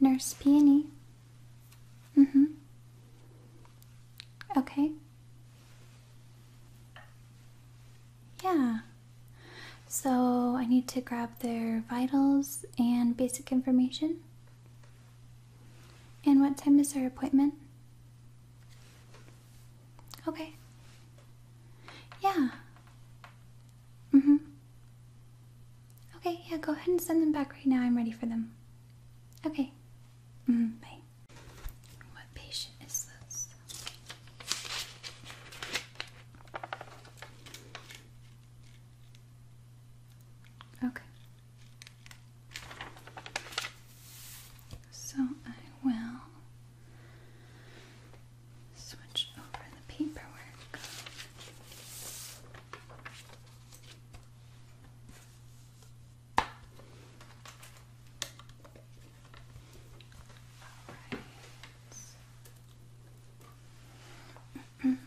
Nurse Peony. hmm Okay. Yeah. So I need to grab their vitals and basic information. And what time is our appointment? Okay. Yeah. Mm-hmm. Okay, yeah, go ahead and send them back right now. I'm ready for them. Okay. -hmm. What patient is this? Okay. So I will switch over the paperwork.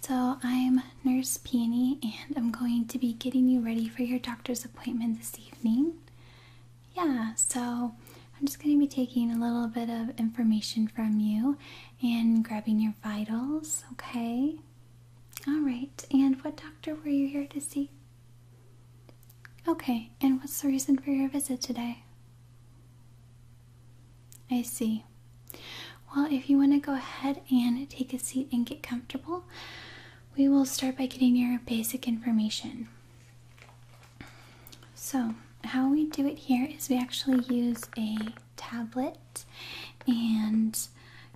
So, I'm Nurse Peony, and I'm going to be getting you ready for your doctor's appointment this evening. Yeah, so I'm just going to be taking a little bit of information from you and grabbing your vitals, okay? All right, and what doctor were you here to see? Okay, and what's the reason for your visit today? I see, well, if you want to go ahead and take a seat and get comfortable, we will start by getting your basic information. So, how we do it here is we actually use a tablet, and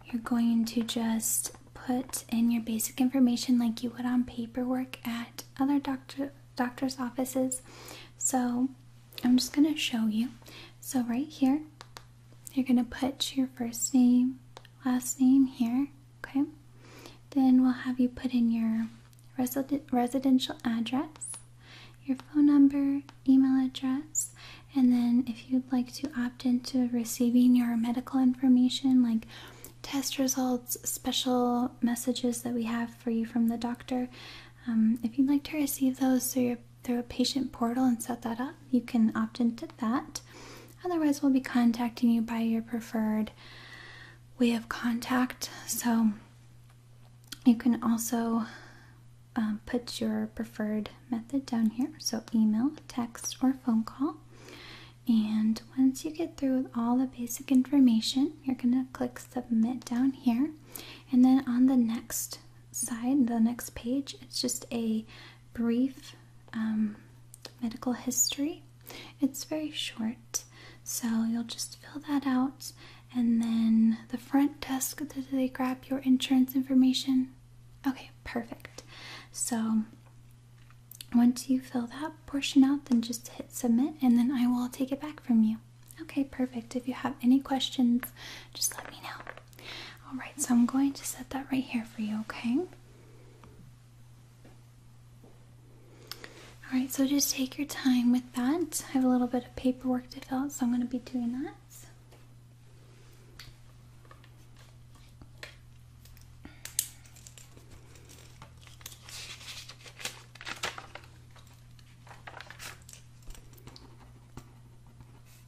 you're going to just put in your basic information like you would on paperwork at other doctor doctor's offices. So, I'm just going to show you. So, right here, you're going to put your first name, last name here, okay? Then we'll have you put in your residential address, your phone number, email address, and then if you'd like to opt into receiving your medical information like test results, special messages that we have for you from the doctor, um, if you'd like to receive those through your through a patient portal and set that up, you can opt into that. Otherwise, we'll be contacting you by your preferred way of contact. So you can also um, put your preferred method down here. So email, text, or phone call. And once you get through with all the basic information, you're going to click submit down here. And then on the next side, the next page, it's just a brief um, medical history. It's very short, so you'll just fill that out. And then the front desk, they grab your insurance information? Okay, perfect. So once you fill that portion out, then just hit submit and then I will take it back from you. Okay, perfect. If you have any questions, just let me know. Alright, so I'm going to set that right here for you, okay? Alright, so just take your time with that. I have a little bit of paperwork to fill out, so I'm going to be doing that.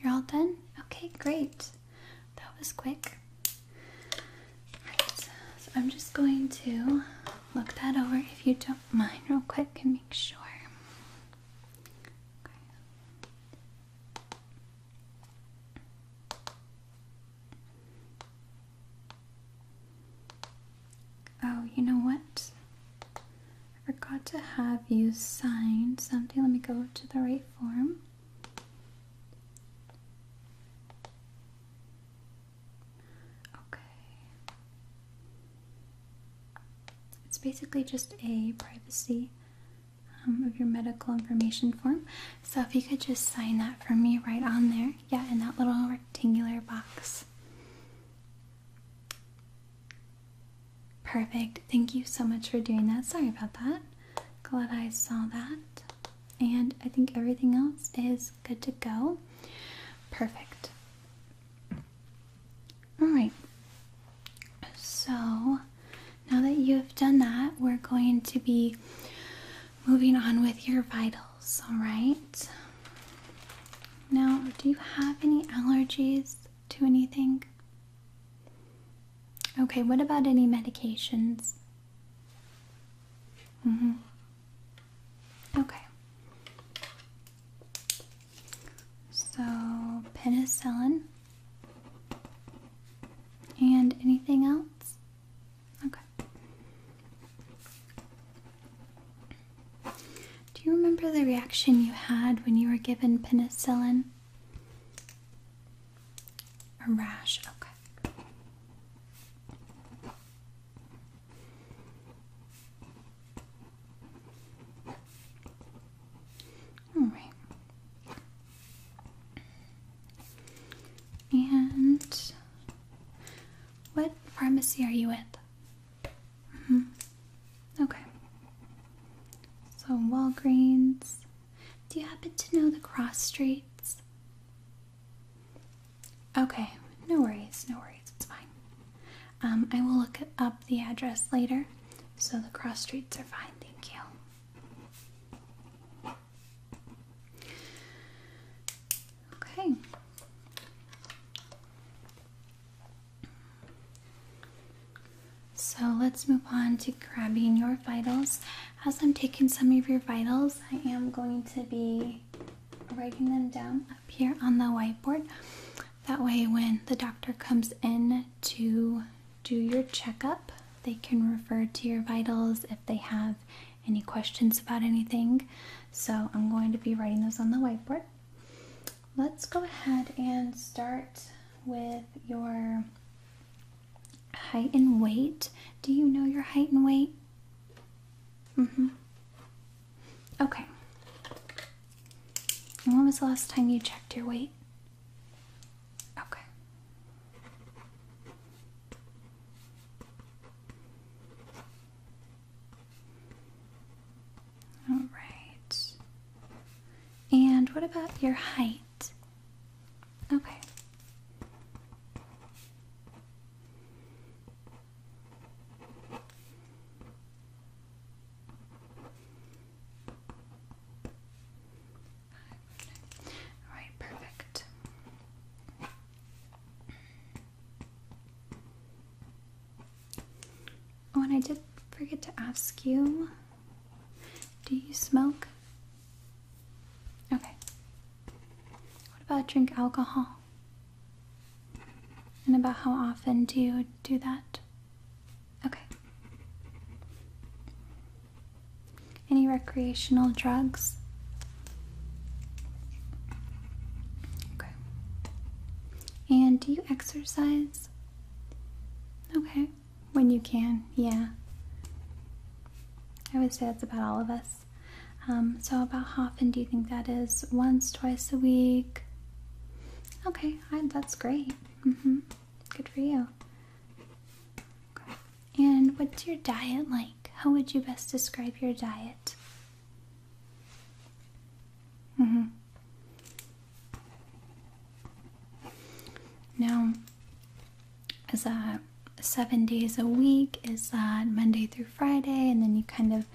You're all done? Okay, great. That was quick. so I'm just going to look that over if you don't mind, real quick, and make sure. Oh, you know what? I forgot to have you sign something. Let me go to the right form. Okay. It's basically just a privacy um, of your medical information form. So if you could just sign that for me right on there. Yeah, in that little rectangular box. Perfect. Thank you so much for doing that. Sorry about that. Glad I saw that. And I think everything else is good to go. Perfect. Alright. So now that you have done that, we're going to be moving on with your vitals. Alright. Now, do you have any allergies to anything? Okay, what about any medications? Mm-hmm. Okay. So, penicillin. And anything else? Okay. Do you remember the reaction you had when you were given penicillin? A rash, okay. All right. And what pharmacy are you with? -hmm. Okay. So Walgreens. Do you happen to know the cross streets? Okay, no worries, no worries, it's fine. Um, I will look up the address later, so the cross streets are fine, thank you. Okay. So let's move on to grabbing your vitals. As I'm taking some of your vitals, I am going to be writing them down up here on the whiteboard. That way, when the doctor comes in to do your checkup, they can refer to your vitals if they have any questions about anything. So I'm going to be writing those on the whiteboard let's go ahead and start with your height and weight. Do you know your height and weight? Mm-hmm. Okay. when was the last time you checked your weight? Okay. All right. And what about your height? Okay. All right, perfect. Oh, and I did forget to ask you do you smoke? Okay. What about drink alcohol? And about how often do you do that? Okay. Any recreational drugs? Okay. And do you exercise? Okay, when you can, yeah. I would say that's about all of us. Um, so, about how often do you think that is? Once, twice a week? Okay, that's great. Mm hmm. Good for you. And what's your diet like? How would you best describe your diet? Mm-hmm. Now, is that seven days a week? Is that Monday through Friday? And then you kind of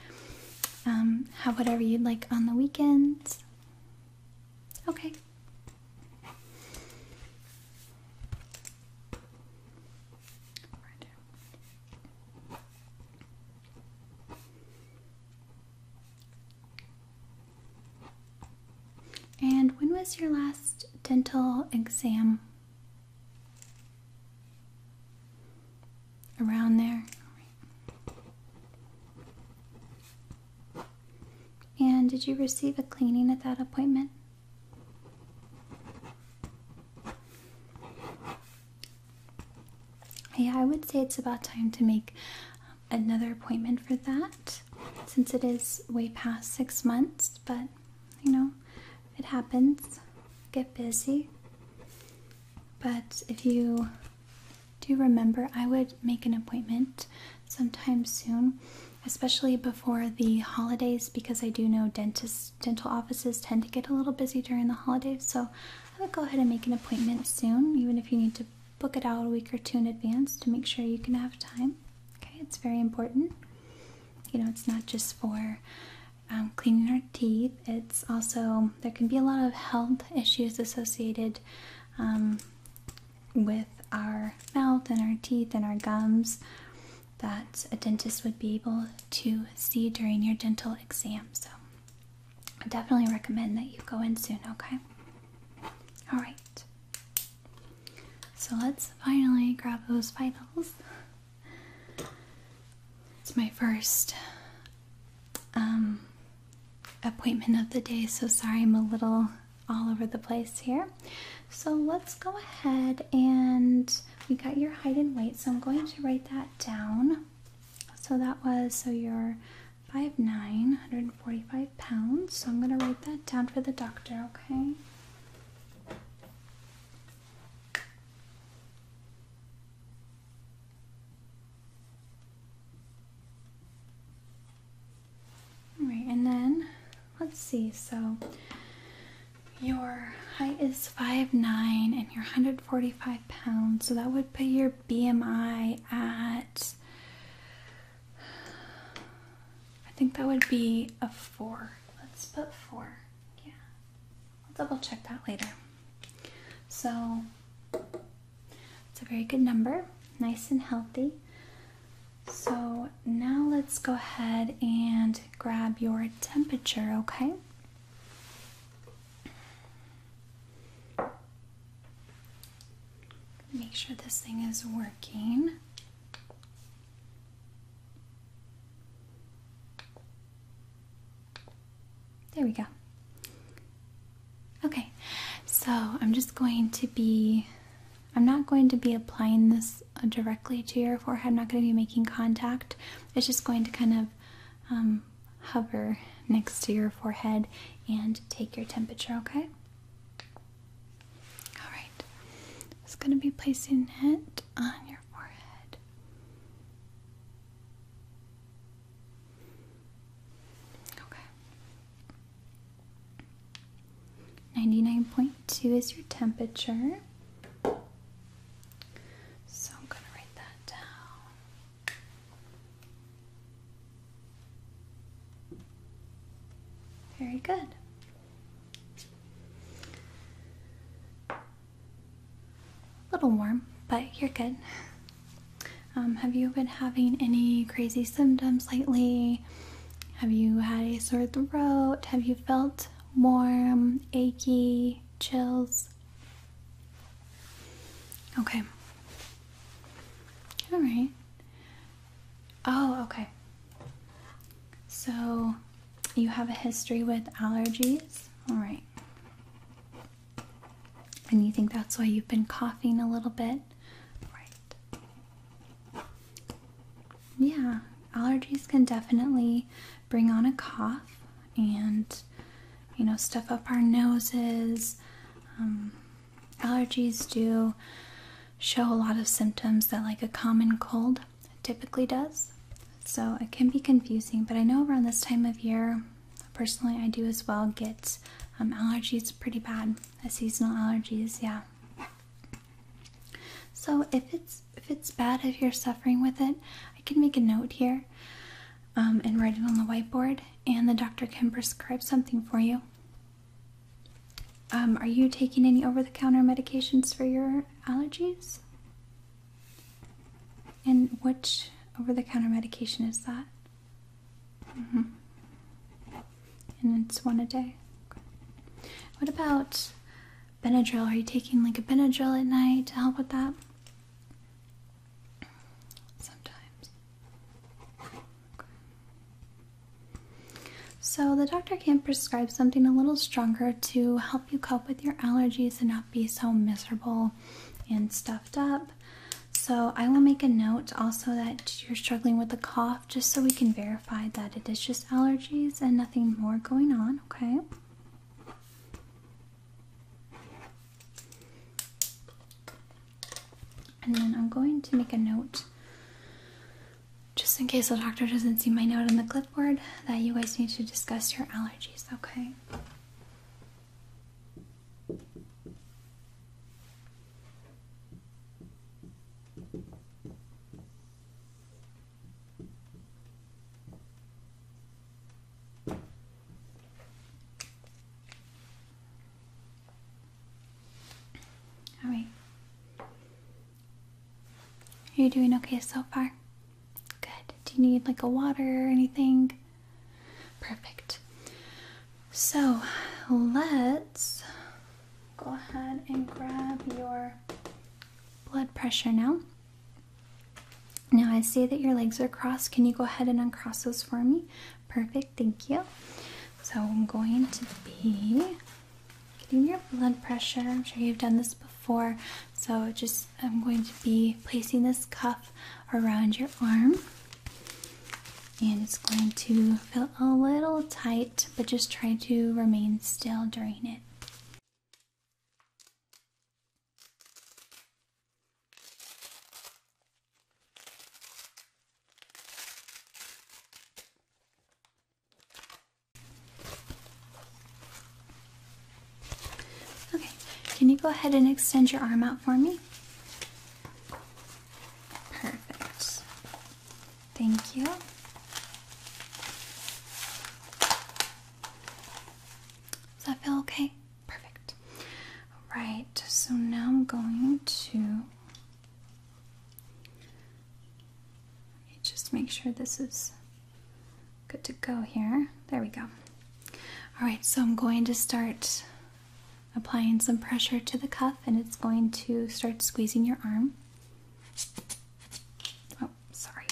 um, have whatever you'd like on the weekends? Okay. And when was your last dental exam? Around there. And did you receive a cleaning at that appointment? yeah, I would say it's about time to make another appointment for that since it is way past six months, but you know, it happens. Get busy. But if you do remember, I would make an appointment sometime soon, especially before the holidays because I do know dentists dental offices tend to get a little busy during the holidays, so I would go ahead and make an appointment soon, even if you need to book it out a week or two in advance to make sure you can have time. Okay, it's very important. You know, it's not just for um, cleaning our teeth, it's also, there can be a lot of health issues associated um, with our mouth and our teeth and our gums that a dentist would be able to see during your dental exam. So, I definitely recommend that you go in soon, okay? Alright. So let's finally grab those vitals. It's my first um, appointment of the day, so sorry I'm a little all over the place here. So let's go ahead and we got your height and weight, so I'm going to write that down. So that was so your Five hundred and forty-five pounds. So I'm gonna write that down for the doctor, okay? Alright, and then let's see, so your height is five nine, and you're 145 pounds, so that would put your BMI at, I think that would be a four. Let's put four. Yeah. I'll double check that later. So, it's a very good number, nice and healthy. So, now let's go ahead and grab your temperature, okay? Make sure this thing is working. There we go. Okay, so I'm just going to be, I'm not going to be applying this directly to your forehead. I'm not going to be making contact. It's just going to kind of um, hover next to your forehead and take your temperature, okay? Alright, just going to be placing it on your forehead. Okay. 99.2 is your temperature. So I'm going to write that down. Very good. A little warm, but you're good. Um, have you been having any crazy symptoms lately? Have you had a sore throat? Have you felt warm, achy, chills? Okay. All right. Oh, okay. So you have a history with allergies? All right. And you think that's why you've been coughing a little bit? Right. Yeah, allergies can definitely bring on a cough and you know stuff up our noses. Um, allergies do show a lot of symptoms that like a common cold typically does. So it can be confusing, but I know around this time of year, personally, I do as well get um, allergies pretty bad, uh, seasonal allergies, yeah. So if it's if it's bad, if you're suffering with it, I can make a note here um, and write it on the whiteboard, and the doctor can prescribe something for you. Um, are you taking any over the counter medications for your allergies? And which over the counter medication is that? Mm-hmm. And it's one a day. What about Benadryl? Are you taking like a Benadryl at night to help with that? Sometimes. So, the doctor can prescribe something a little stronger to help you cope with your allergies and not be so miserable and stuffed up. So, I will make a note also that you're struggling with a cough just so we can verify that it is just allergies and nothing more going on, okay? And then I'm going to make a note just in case the doctor doesn't see my note on the clipboard that you guys need to discuss your allergies, okay? Alright. Are you doing okay so far? Good. Do you need like a water or anything? Perfect. So let's go ahead and grab your blood pressure now. Now I see that your legs are crossed. Can you go ahead and uncross those for me? Perfect, thank you. So I'm going to be getting your blood pressure. I'm sure you've done this before. So just I'm going to be placing this cuff around your arm. And it's going to feel a little tight, but just try to remain still during it. Okay, can you go ahead and extend your arm out for me? Perfect. Thank you. Does that feel okay? Perfect. Alright, so now I'm going to just make sure this is good to go here. There we go. Alright, so I'm going to start applying some pressure to the cuff and it's going to start squeezing your arm. Oh, sorry.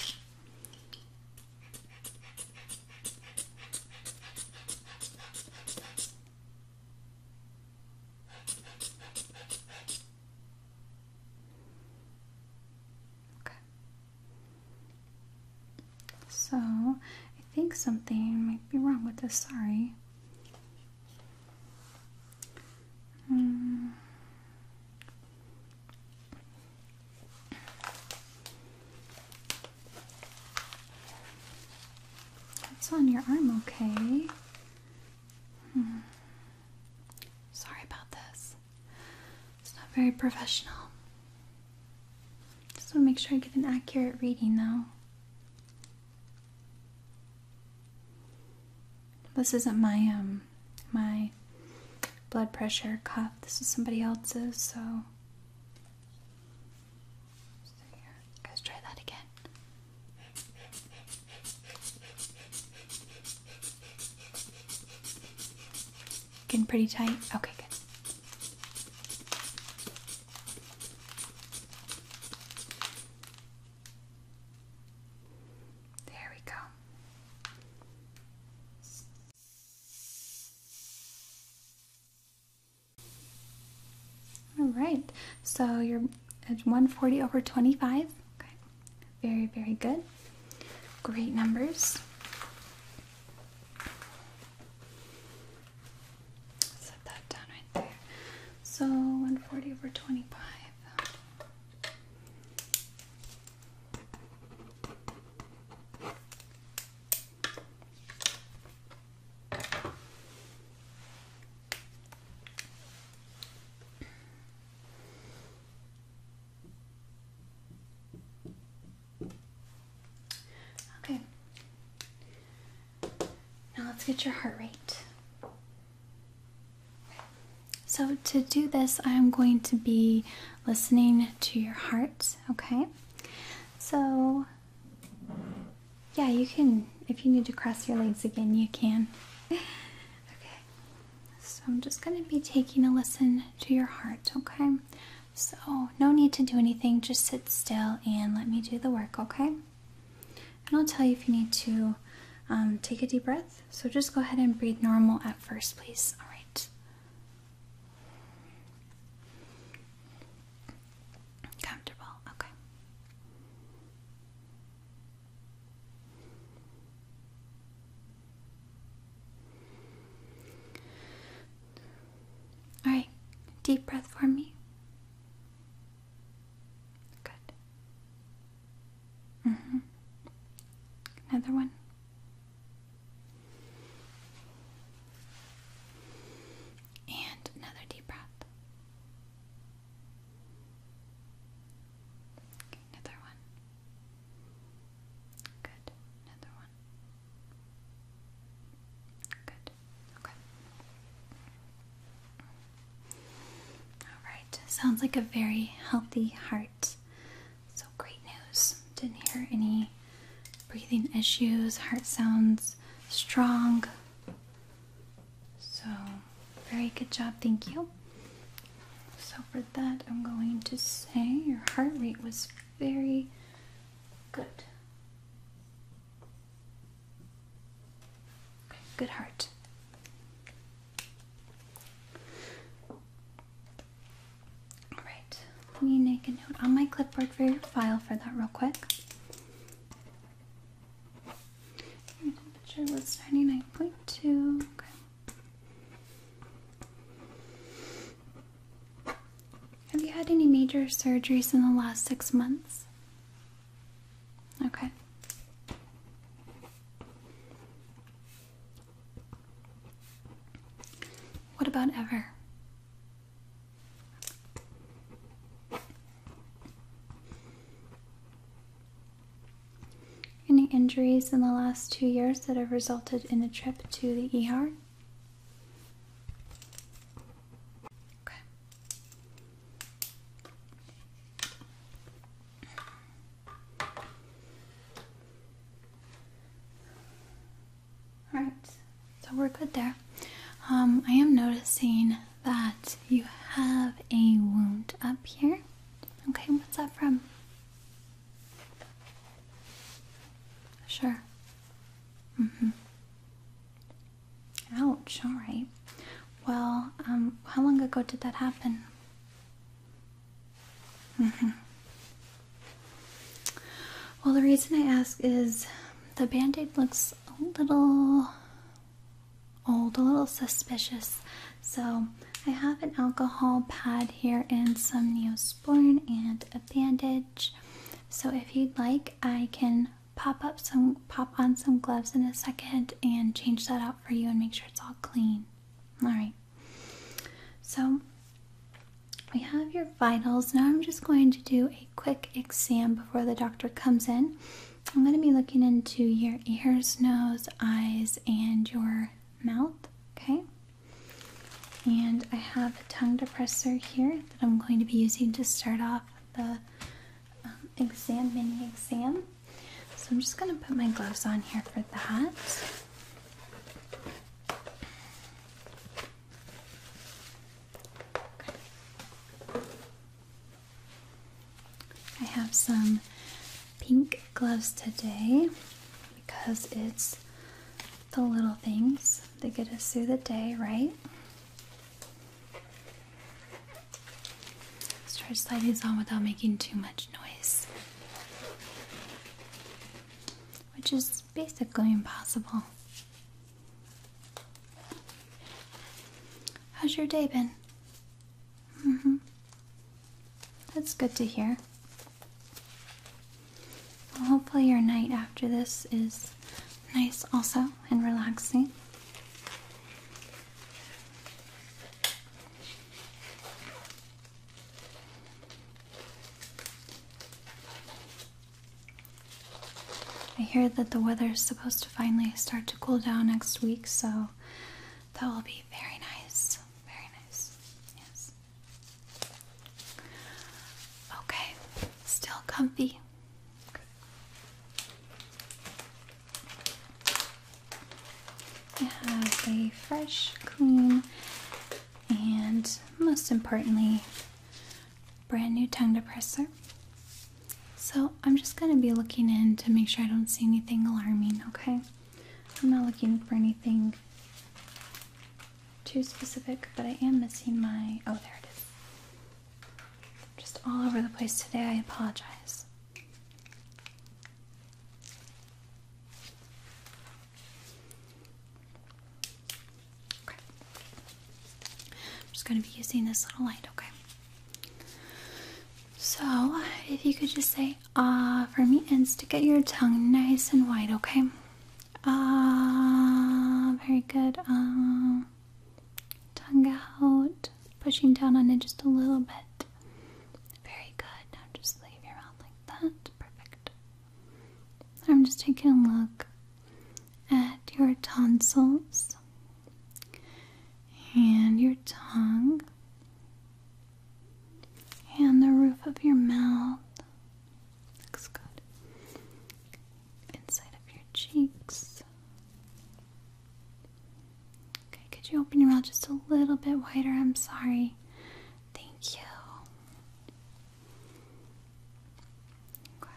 Okay. So, I think something might be wrong with this. Sorry. Mm. That's on your arm, okay? Hmm. Sorry about this. It's not very professional. Just want to make sure I get an accurate reading, though. This isn't my um my blood pressure cuff. This is somebody else's, so so try that again. Getting pretty tight? Okay, good. There we go. All right, so you're at 140 over 25. Okay, very, very good. Great numbers. Set that down right there. So 140 over 25. Okay. Now let's get your heart rate. So, to do this, I'm going to be listening to your heart, okay? So, yeah, you can. If you need to cross your legs again, you can. Okay. So I'm just going to be taking a listen to your heart, okay? So, no need to do anything. Just sit still and let me do the work, okay? And I'll tell you if you need to um, take a deep breath. So, just go ahead and breathe normal at first, please. All right. Comfortable, okay. All right, deep breath for me. Good. Mm-hmm. Another one. And another deep breath. another one. Good. Another one. Good. Okay. Alright, sounds like a very healthy heart. So great news. Didn't hear any breathing issues, heart sounds strong. So, very good job, thank you. So, for that, I'm going to say your heart rate was very good. good heart. All right, let me make a note on my clipboard for your file for that real quick. temperature was 99.2. Okay. Have you had any major surgeries in the last six months? Okay. What about ever? Any injuries in the last two years that have resulted in a trip to the ER? All right, so we're good there. Um, I am noticing that you have a wound up here. Okay, what's that from? Sure. Mm-hmm. Ouch, all right. Well, um, how long ago did that happen? Mm-hmm. Well, the reason I ask is the band aid looks a little old, a little suspicious. So I have an alcohol pad here and some neosporin and a bandage. So if you'd like, I can pop up some pop on some gloves in a second and change that out for you and make sure it's all clean. All right. So we have your vitals. Now I'm just going to do a quick exam before the doctor comes in. I'm going to be looking into your ears, nose, eyes, and your mouth. Okay. And I have a tongue depressor here that I'm going to be using to start off the um, exam, mini exam. So I'm just going to put my gloves on here for that. I have some pink gloves today because it's the little things that get us through the day, right? Let's try to slide these on without making too much noise, which is basically impossible. How's your day been? Mm-hmm. That's good to hear. hopefully, your night after this is nice also and relaxing. I hear that the weather is supposed to finally start to cool down next week, so that will be very nice. Very nice. Yes. Okay, still comfy. I have a fresh, clean, and most importantly, brand new tongue depressor. So I'm just going to be looking in to make sure I don't see anything alarming, okay? I'm not looking for anything too specific, but I am missing my. Oh, there it is. Just all over the place today. I apologize. I'm just going to be using this little light, okay? So, if you could just say ah for me and stick out your tongue nice and wide, okay? Ah, very good. Um, tongue out, pushing down on it just a little bit. Very good. Now just leave your mouth like that. Perfect. I'm just taking a look at your tonsils and your tongue and the roof of your mouth. Looks good. Inside of your cheeks. Okay, could you open your mouth just a little bit wider? I'm sorry. Thank you. Okay.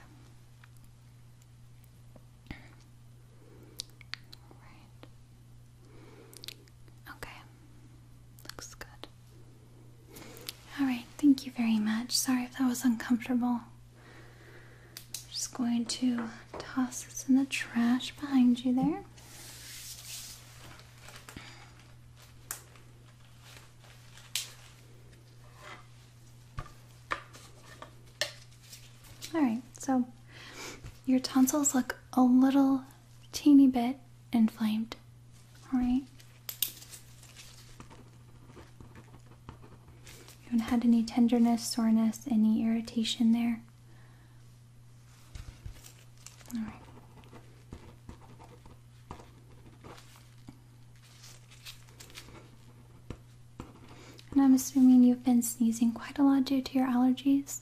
All right. Okay. Looks good. All right. Thank you very much. Sorry if that was uncomfortable. just going to toss this in the trash behind you there. All right, so your tonsils look a little teeny bit inflamed. All right. You haven't had any tenderness, soreness, any irritation there. All right. And I'm assuming you've been sneezing quite a lot due to your allergies.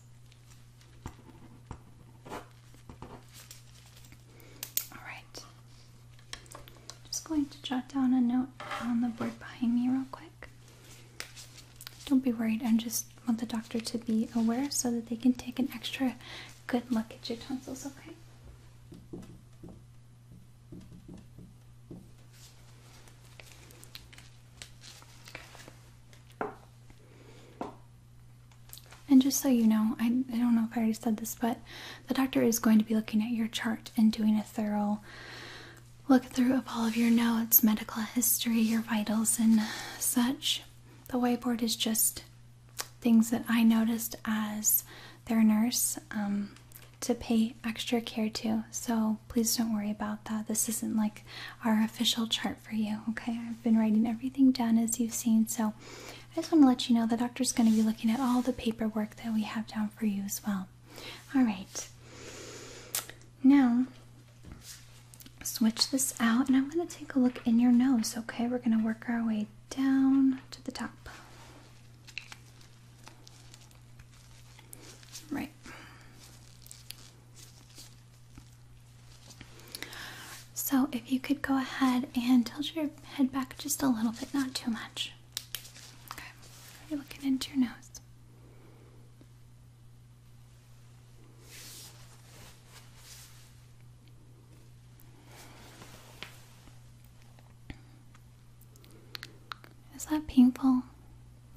Alright. Just going to jot down a note on the board behind me real quick. Don't be worried, I just want the doctor to be aware so that they can take an extra good look at your tonsils, okay? And just so you know, I, don't know if I already said this, but the doctor is going to be looking at your chart and doing a thorough look through of all of your notes, medical history, your vitals, and such. The whiteboard is just things that I noticed as their nurse um, to pay extra care to. So please don't worry about that. This isn't like our official chart for you, okay? I've been writing everything down as you've seen. So I just want to let you know the doctor's going to be looking at all the paperwork that we have down for you as well. All right. Now, switch this out and I'm going to take a look in your nose, okay? We're going to work our way down to the top. Right. So, if you could go ahead and tilt your head back just a little bit, not too much. Okay. you looking into your nose. Is that painful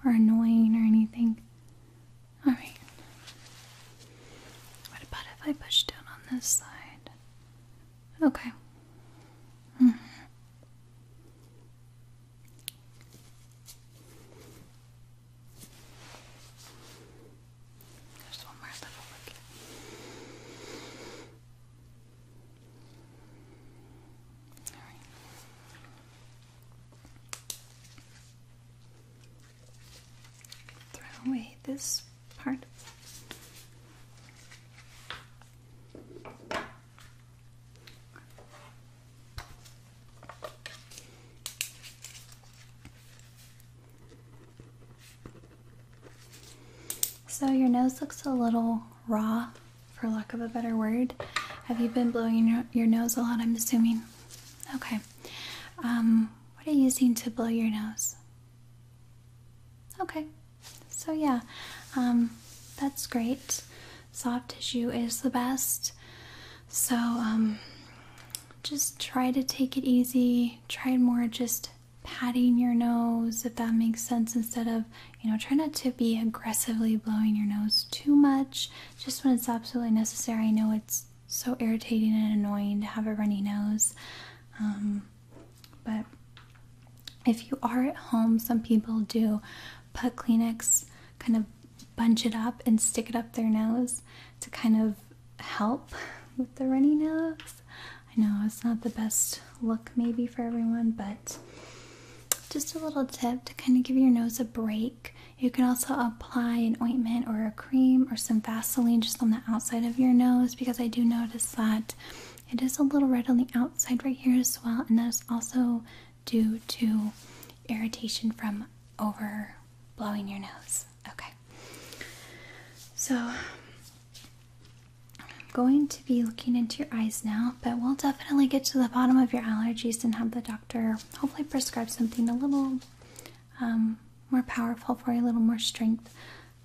or annoying or anything? Alright. What about if I push down on this side? Okay. Mm-hmm. There's one more little look. Throw away this part. So your nose looks a little raw, for lack of a better word. Have you been blowing your, your nose a lot? I'm assuming. Okay. Um, what are you using to blow your nose? Okay. So yeah, um, that's great. Soft tissue is the best. So um, just try to take it easy. Try more just patting your nose, if that makes sense, instead of, you know, try not to be aggressively blowing your nose too much, just when it's absolutely necessary. I know it's so irritating and annoying to have a runny nose, um, but if you are at home, some people do put Kleenex, kind of bunch it up and stick it up their nose to kind of help with the runny nose. I know it's not the best look, maybe, for everyone, but just a little tip to kind of give your nose a break. You can also apply an ointment or a cream or some Vaseline just on the outside of your nose because I do notice that it is a little red on the outside right here as well, and that is also due to irritation from over blowing your nose. Okay. So I'm going to be looking into your eyes now, but we'll definitely get to the bottom of your allergies and have the doctor hopefully prescribe something a little um, more powerful for you, a little more strength,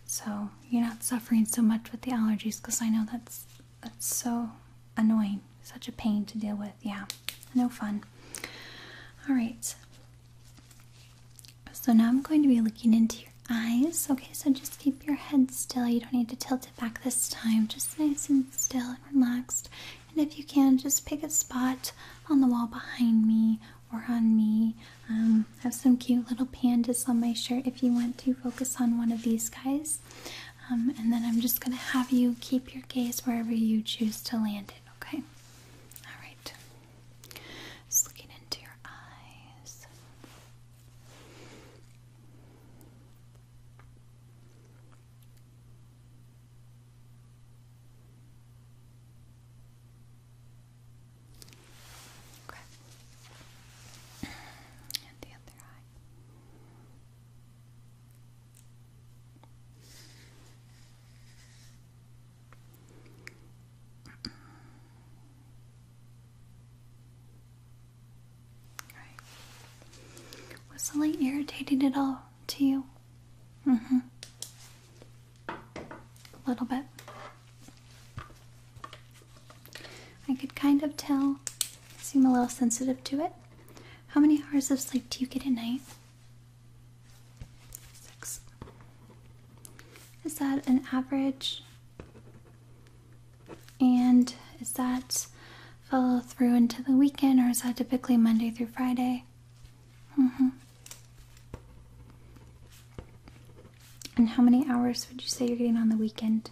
so you're not suffering so much with the allergies. Because I know that's that's so annoying, such a pain to deal with. Yeah, no fun. All right. So now I'm going to be looking into your eyes. Okay, so just keep your head still. You don't need to tilt it back this time. Just nice and still and relaxed. And if you can, just pick a spot on the wall behind me or on me. Um, I have some cute little pandas on my shirt if you want to focus on one of these guys. Um, and then I'm just going to have you keep your gaze wherever you choose to land it, okay? Alright. looking into your eyes. Okay. And the other eye. Right. Was something irritating at all to you? Mm-hmm. A little bit. I could kind of tell. Seem a little sensitive to it. How many hours of sleep do you get at night? Six. Is that an average and is that follow through into the weekend, or is that typically Monday through Friday? Mm-hmm. And how many hours would you say you're getting on the weekend?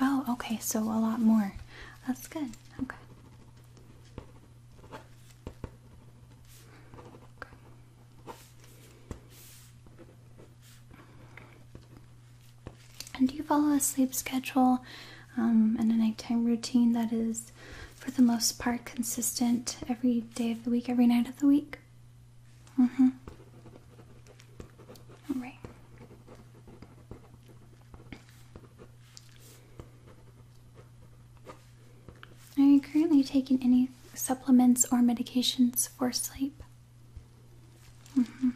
Oh, okay, so a lot more. That's good. okay. And do you follow a sleep schedule um, and a nighttime routine that is, for the most part, consistent every day of the week, every night of the week? Mm hmm. All right. Are you currently taking any supplements or medications for sleep? Mm-hmm.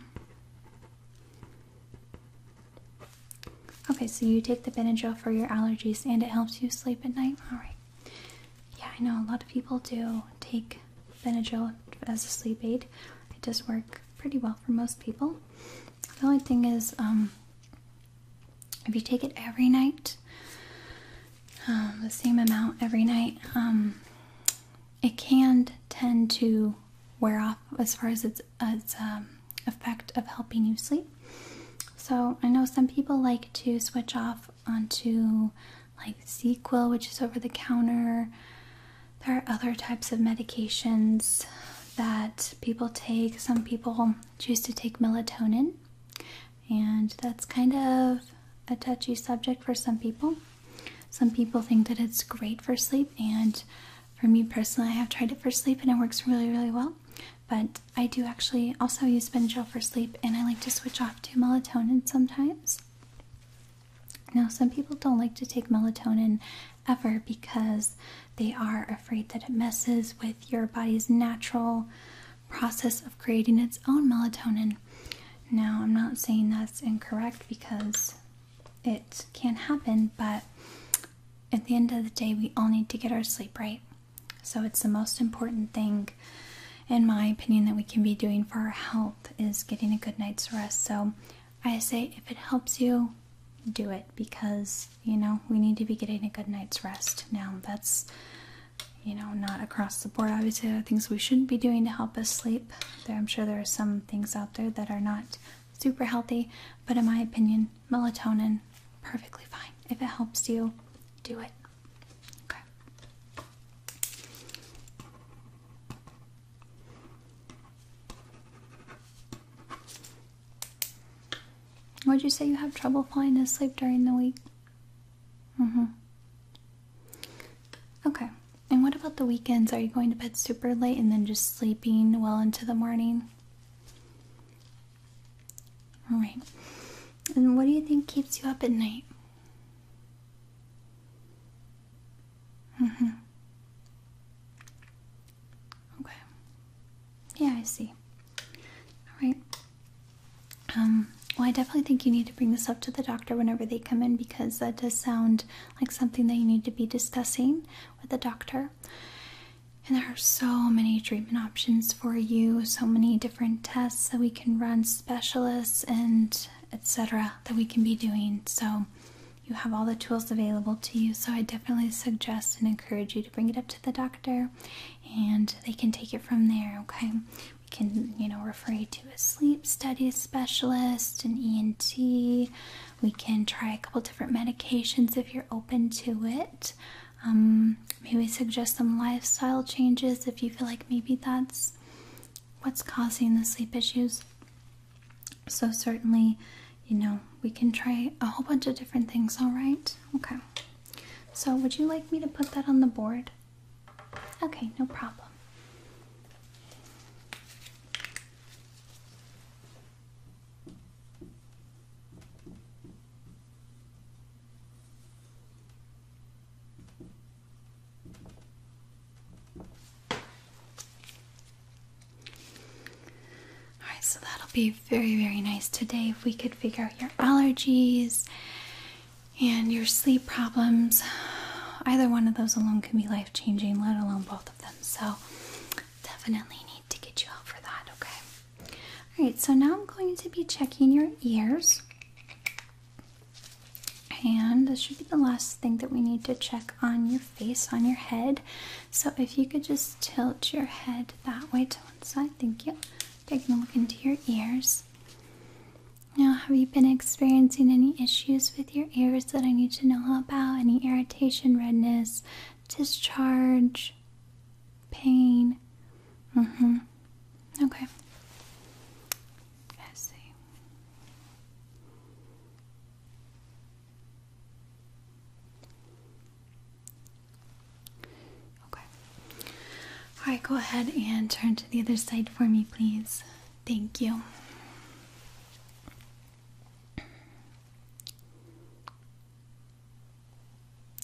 Okay, so you take the Benadryl for your allergies and it helps you sleep at night? Alright. Yeah, I know a lot of people do take Benadryl as a sleep aid. It does work pretty well for most people. The only thing is, um, if you take it every night, um, the same amount every night, um, it can tend to wear off as far as its, its um, effect of helping you sleep. So I know some people like to switch off onto like ZQL, which is over the counter. There are other types of medications that people take. Some people choose to take melatonin. And that's kind of a touchy subject for some people. Some people think that it's great for sleep, and for me personally, I have tried it for sleep and it works really, really well. But I do actually also use Benadryl for sleep, and I like to switch off to melatonin sometimes. Now, some people don't like to take melatonin ever because they are afraid that it messes with your body's natural process of creating its own melatonin. Now, I'm not saying that's incorrect because it can happen, but at the end of the day, we all need to get our sleep right. So, it's the most important thing, in my opinion, that we can be doing for our health is getting a good night's rest. So, I say if it helps you, do it because you know we need to be getting a good night's rest now. That's you know, not across the board. Obviously, there are things we shouldn't be doing to help us sleep. There, I'm sure there are some things out there that are not super healthy, but in my opinion, melatonin, perfectly fine. If it helps you, do it. Okay. Would you say you have trouble falling asleep during the week? Mm-hmm. Okay. And what about the weekends? Are you going to bed super late and then just sleeping well into the morning? Alright. And what do you think keeps you up at night? Mm-hmm. Okay. Yeah, I see. Alright. Um, well, I definitely think you need to bring this up to the doctor whenever they come in because that does sound like something that you need to be discussing with the doctor. And there are so many treatment options for you, so many different tests that we can run, specialists, and etc. that we can be doing. So you have all the tools available to you. So I definitely suggest and encourage you to bring it up to the doctor and they can take it from there, okay? we can you know refer you to a sleep studies specialist an ent we can try a couple different medications if you're open to it um, maybe suggest some lifestyle changes if you feel like maybe that's what's causing the sleep issues so certainly you know we can try a whole bunch of different things all right okay so would you like me to put that on the board Okay, no problem. Alright, so that'll be very, very nice today if we could figure out your allergies and your sleep problems. Either one of those alone can be life changing, let alone both of them. So, definitely need to get you out for that, okay? Alright, so now I'm going to be checking your ears. And this should be the last thing that we need to check on your face, on your head. So, if you could just tilt your head that way to one side, thank you. Taking a look into your ears. Now, have you been experiencing any issues with your ears that I need to know about? Any irritation, redness, discharge, pain? Mm hmm. Okay. I Okay. All right, go ahead and turn to the other side for me, please. Thank you.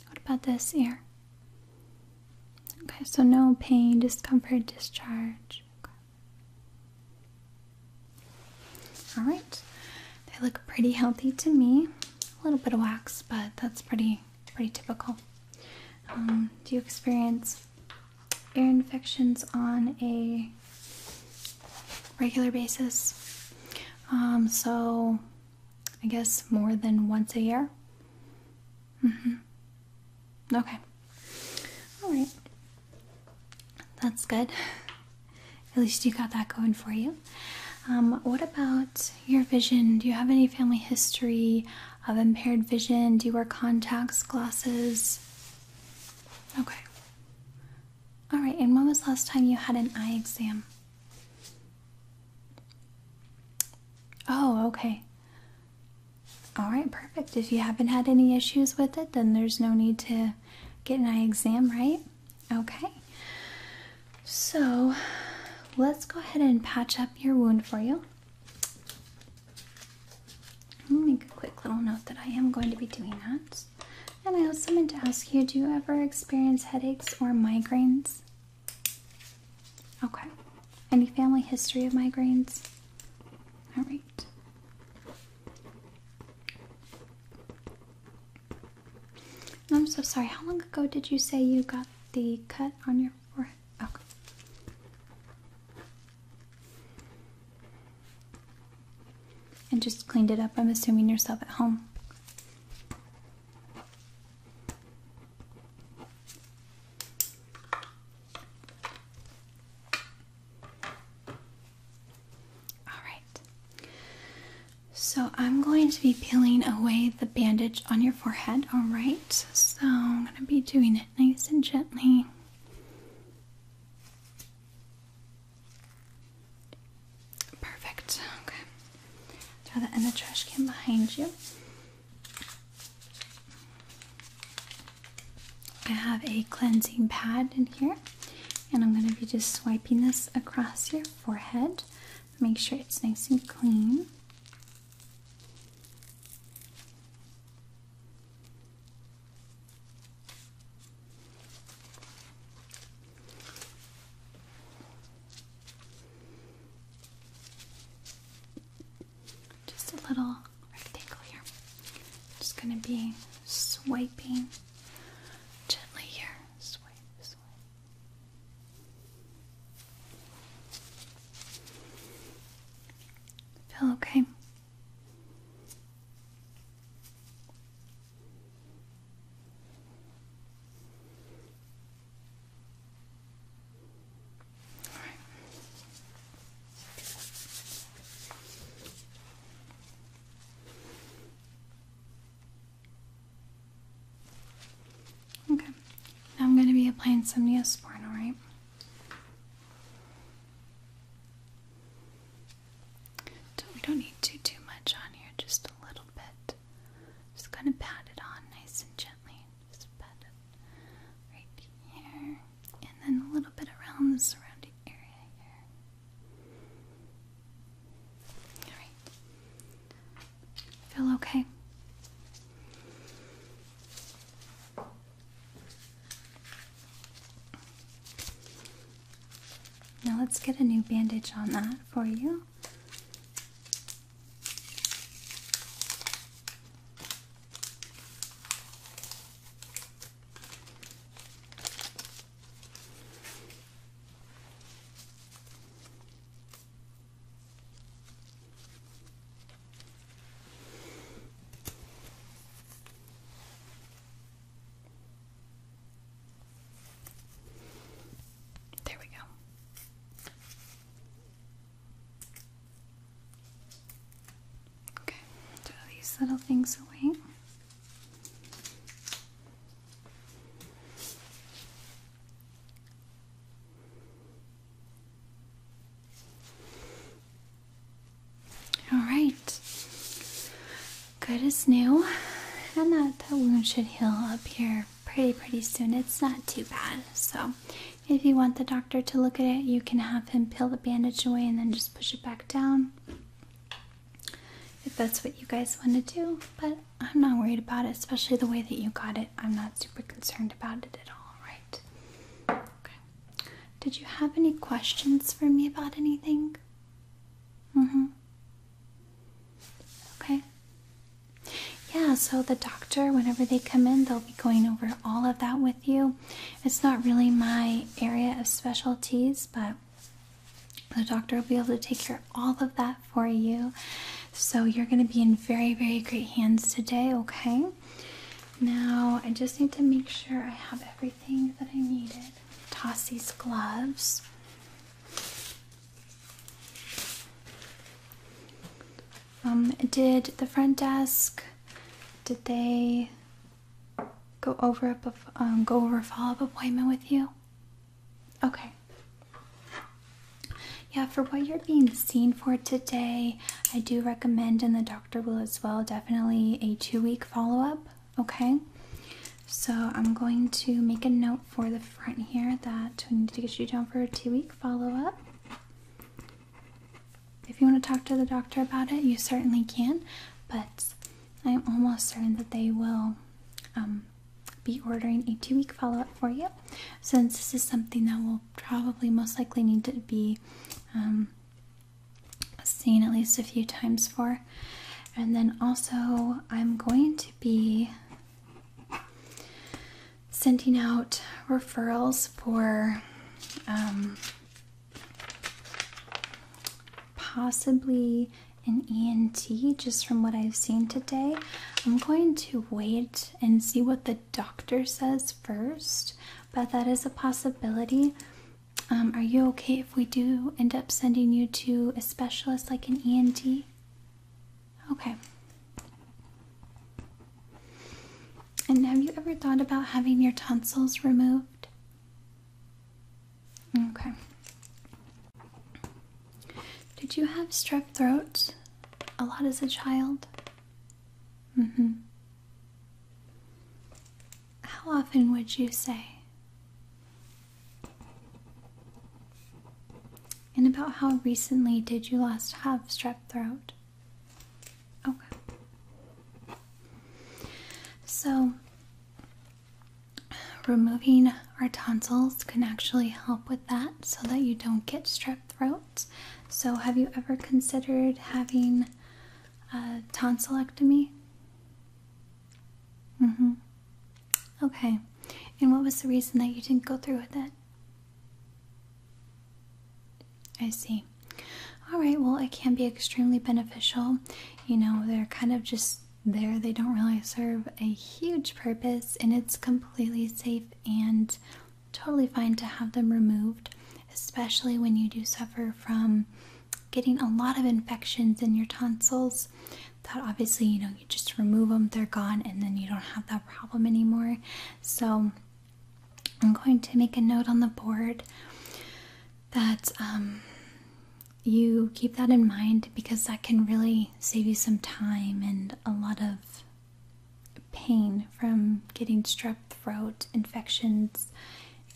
What about this ear? Okay, so no pain, discomfort, discharge. All right, they look pretty healthy to me. A little bit of wax, but that's pretty pretty typical. Um, do you experience ear infections on a regular basis. Um, so I guess more than once a year. Mm-hmm. okay. All right. That's good. At least you got that going for you. Um, what about your vision? Do you have any family history of impaired vision? Do you wear contacts, glasses? Okay. All right, and when was the last time you had an eye exam? Oh, okay. All right, perfect. If you haven't had any issues with it, then there's no need to get an eye exam, right? Okay. So, let's go ahead and patch up your wound for you. I'll make a quick little note that I am going to be doing that. And I also meant to ask you do you ever experience headaches or migraines? Okay. Any family history of migraines? All right. I'm so sorry. How long ago did you say you got the cut on your forehead? Okay. And just cleaned it up, I'm assuming yourself at home. Alright. So I'm going to be peeling away the bandage on your forehead, alright? So I'm going to be doing it nice and gently. Perfect. Okay. Throw that in the trash can behind you. I have a cleansing pad in here, and I'm going to be just swiping this across your forehead. Make sure it's nice and clean. Just a little rectangle here. Just going to be swiping gently here okay? All right. Okay, I'm going to be applying some Neosporin, alright? we don't need to do much on here, just a little bit. Just gonna pat it on nice and gently. Just pat it right here. And then a little bit around the surrounding area here. Alright. Feel okay? Now let's get a new bandage on that for you. There we go. Okay, throw these little things away. All right. Good as new. And that, that wound should heal up here pretty, pretty soon. It's not too bad. So, if you want the doctor to look at it, you can have him peel the bandage away and then just push it back down. If that's what you guys want to do. But I'm not worried about it, especially the way that you got it. I'm not super concerned about it at all, right? Okay. Did you have any questions for me about anything? Mm-hmm. Okay. Yeah, so the doctor, whenever they come in, they'll be going over all of that with you. It's not really my area of specialties, but the doctor will be able to take care of all of that for you. So you're going to be in very, very great hands today, okay? Now, I just need to make sure I have everything that I needed. Toss these gloves. Um, did the front desk? Did they go over a um, go over a follow-up appointment with you? Okay. Yeah, for what you're being seen for today, I do recommend, and the doctor will as well, definitely a two week follow up, okay. So I'm going to make a note for the front here that we need to get you down for a two week follow up. If you want to talk to the doctor about it, you certainly can, but I'm almost certain that they will um, be ordering a two week follow up for you since this is something that will probably most likely need to be um, seen at least a few times for. And then also, I'm going to be sending out referrals for um, possibly an ENT just from what I've seen today. I'm going to wait and see what the doctor says first, but that is a possibility. Um, are you okay if we do end up sending you to a specialist like an ENT? Okay. And have you ever thought about having your tonsils removed? Okay. Did you have strep throat a lot as a child? Mm hmm. How often would you say? And about how recently did you last have strep throat? Okay. So, removing our tonsils can actually help with that so that you don't get strep throat. So, have you ever considered having a tonsillectomy? Mm hmm. Okay. And what was the reason that you didn't go through with it? I see. All right, well, it can be extremely beneficial. You know, they're kind of just there, they don't really serve a huge purpose, and it's completely safe and totally fine to have them removed, especially when you do suffer from getting a lot of infections in your tonsils. That obviously, you know, you just remove them, they're gone, and then you don't have that problem anymore. So, I'm going to make a note on the board that um, you keep that in mind because that can really save you some time and a lot of pain from getting strep throat infections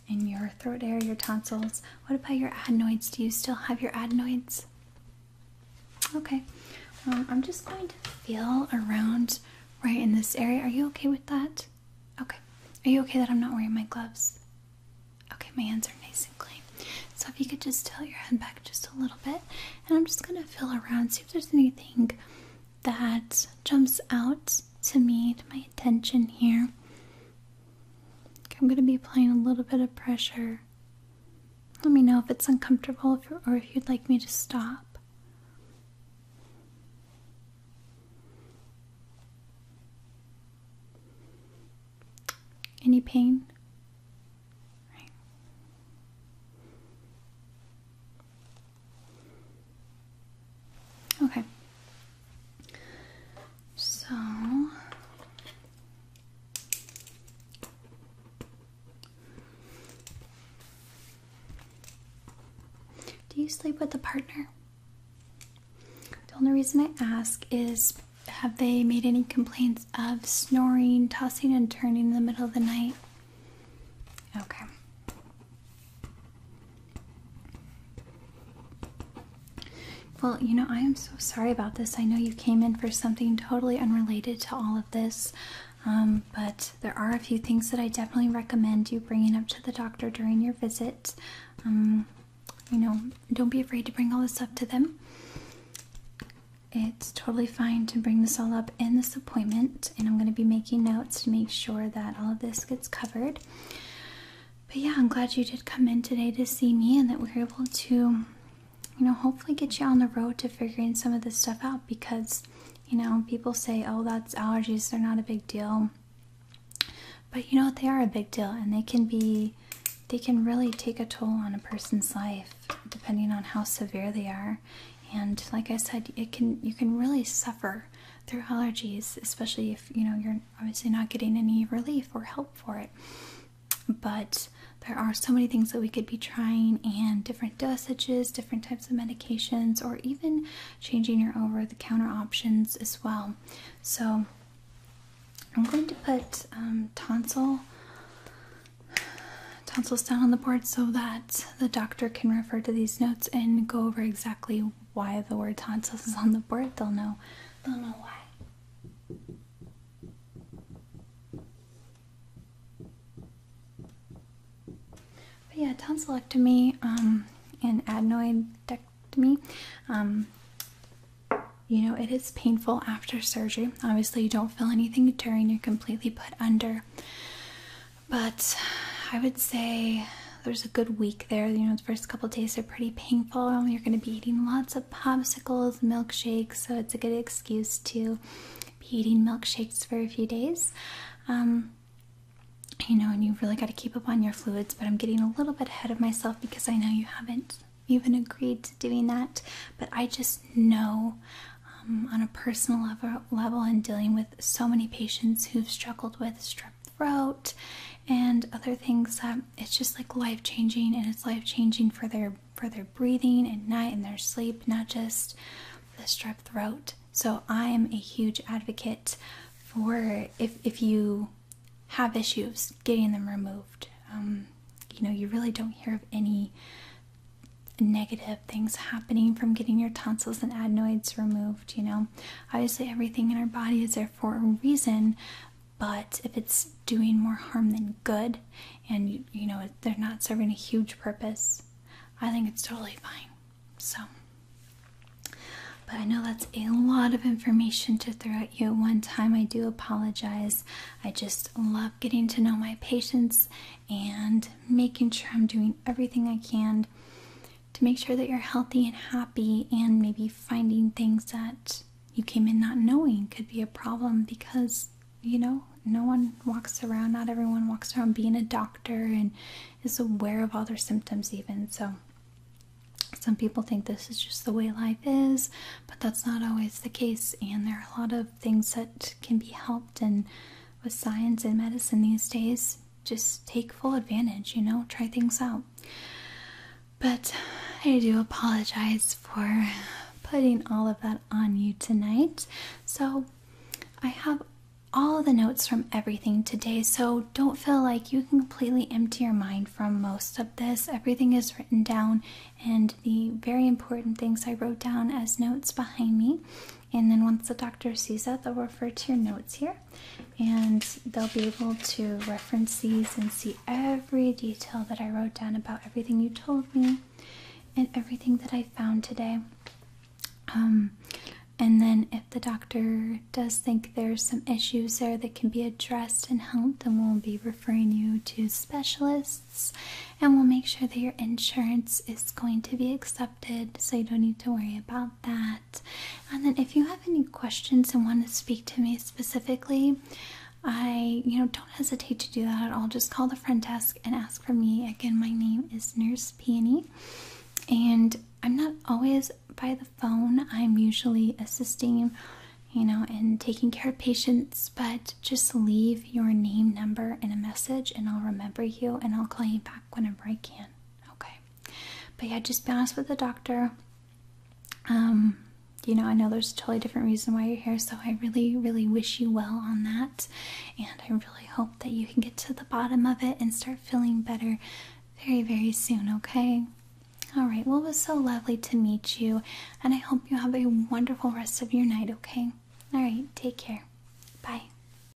in your throat area, your tonsils. What about your adenoids? Do you still have your adenoids? Okay, um, I'm just going to feel around right in this area. Are you okay with that? Okay. Are you okay that I'm not wearing my gloves? Okay, my hands are nice and clean. So if you could just tilt your head back just a little bit, and I'm just gonna feel around, see if there's anything that jumps out to me, to my attention here. I'm going to be applying a little bit of pressure. Let me know if it's uncomfortable or if you'd like me to stop. Any pain? Okay. So do you sleep with a partner? The only reason I ask is have they made any complaints of snoring, tossing, and turning in the middle of the night? Okay. Well, you know, I am so sorry about this. I know you came in for something totally unrelated to all of this, um, but there are a few things that I definitely recommend you bringing up to the doctor during your visit. Um, you know, don't be afraid to bring all this up to them. It's totally fine to bring this all up in this appointment and I'm going to be making notes to make sure that all of this gets covered. But yeah, I'm glad you did come in today to see me and that we are able to, you know, hopefully get you on the road to figuring some of this stuff out because, you know, people say, oh, that's allergies, they're not a big deal. But you know, what? they are a big deal and they can be, they can really take a toll on a person's life depending on how severe they are and like i said it can you can really suffer through allergies especially if you know you're obviously not getting any relief or help for it but there are so many things that we could be trying and different dosages different types of medications or even changing your over the counter options as well so i'm going to put um, tonsil tonsils down on the board so that the doctor can refer to these notes and go over exactly why the word tonsils is on the board. They'll know. They'll know why. But yeah, tonsillectomy um, and adenoidectomy. Um, you know, it is painful after surgery. Obviously, you don't feel anything during. You're completely put under. But I would say there's a good week there. You know, the first couple days are pretty painful. You're going to be eating lots of popsicles, milkshakes, so it's a good excuse to be eating milkshakes for a few days. Um, you know, and you have really got to keep up on your fluids, but I'm getting a little bit ahead of myself because I know you haven't even agreed to doing that. But I just know um, on a personal level level and dealing with so many patients who've struggled with strep throat and other things that it's just like life changing and it's life changing for their for their breathing and night and their sleep, not just the strep throat. So I am a huge advocate for if if you have issues getting them removed. Um, you know, you really don't hear of any negative things happening from getting your tonsils and adenoids removed, you know. Obviously, everything in our body is there for a reason, but if it's doing more harm than good and you, know they're not serving a huge purpose, I think it's totally fine. So, but I know that's a lot of information to throw at you at one time. I do apologize. I just love getting to know my patients and making sure I'm doing everything I can to make sure that you're healthy and happy, and maybe finding things that you came in not knowing could be a problem because you know no one walks around, not everyone walks around being a doctor and is aware of all their symptoms, even so. Some people think this is just the way life is, but that's not always the case. And there are a lot of things that can be helped, and with science and medicine these days, just take full advantage, you know, try things out. But I do apologize for putting all of that on you tonight. So I have all the notes from everything today, so don't feel like you can completely empty your mind from most of this. Everything is written down, and the very important things I wrote down as notes behind me. And then once the doctor sees that, they'll refer to your notes here and they'll be able to reference these and see every detail that I wrote down about everything you told me and everything that I found today. Um, and then if the doctor does think there's some issues there that can be addressed and helped, then we'll be referring you to specialists and we'll make sure that your insurance is going to be accepted so you don't need to worry about that. And then if you have any questions and want to speak to me specifically, I, you know, don't hesitate to do that at all. Just call the front desk and ask for me. Again, my name is Nurse Peony, and I'm not always by the phone. I'm usually assisting, you know, and taking care of patients. But just leave your name, number, and a message, and I'll remember you, and I'll call you back whenever I can. Okay. But yeah, just be honest with the doctor. Um, you know, I know there's a totally different reason why you're here, so I really, really wish you well on that. And I really hope that you can get to the bottom of it and start feeling better very, very soon, okay? All right, well, it was so lovely to meet you, and I hope you have a wonderful rest of your night, okay? All right, take care. Bye.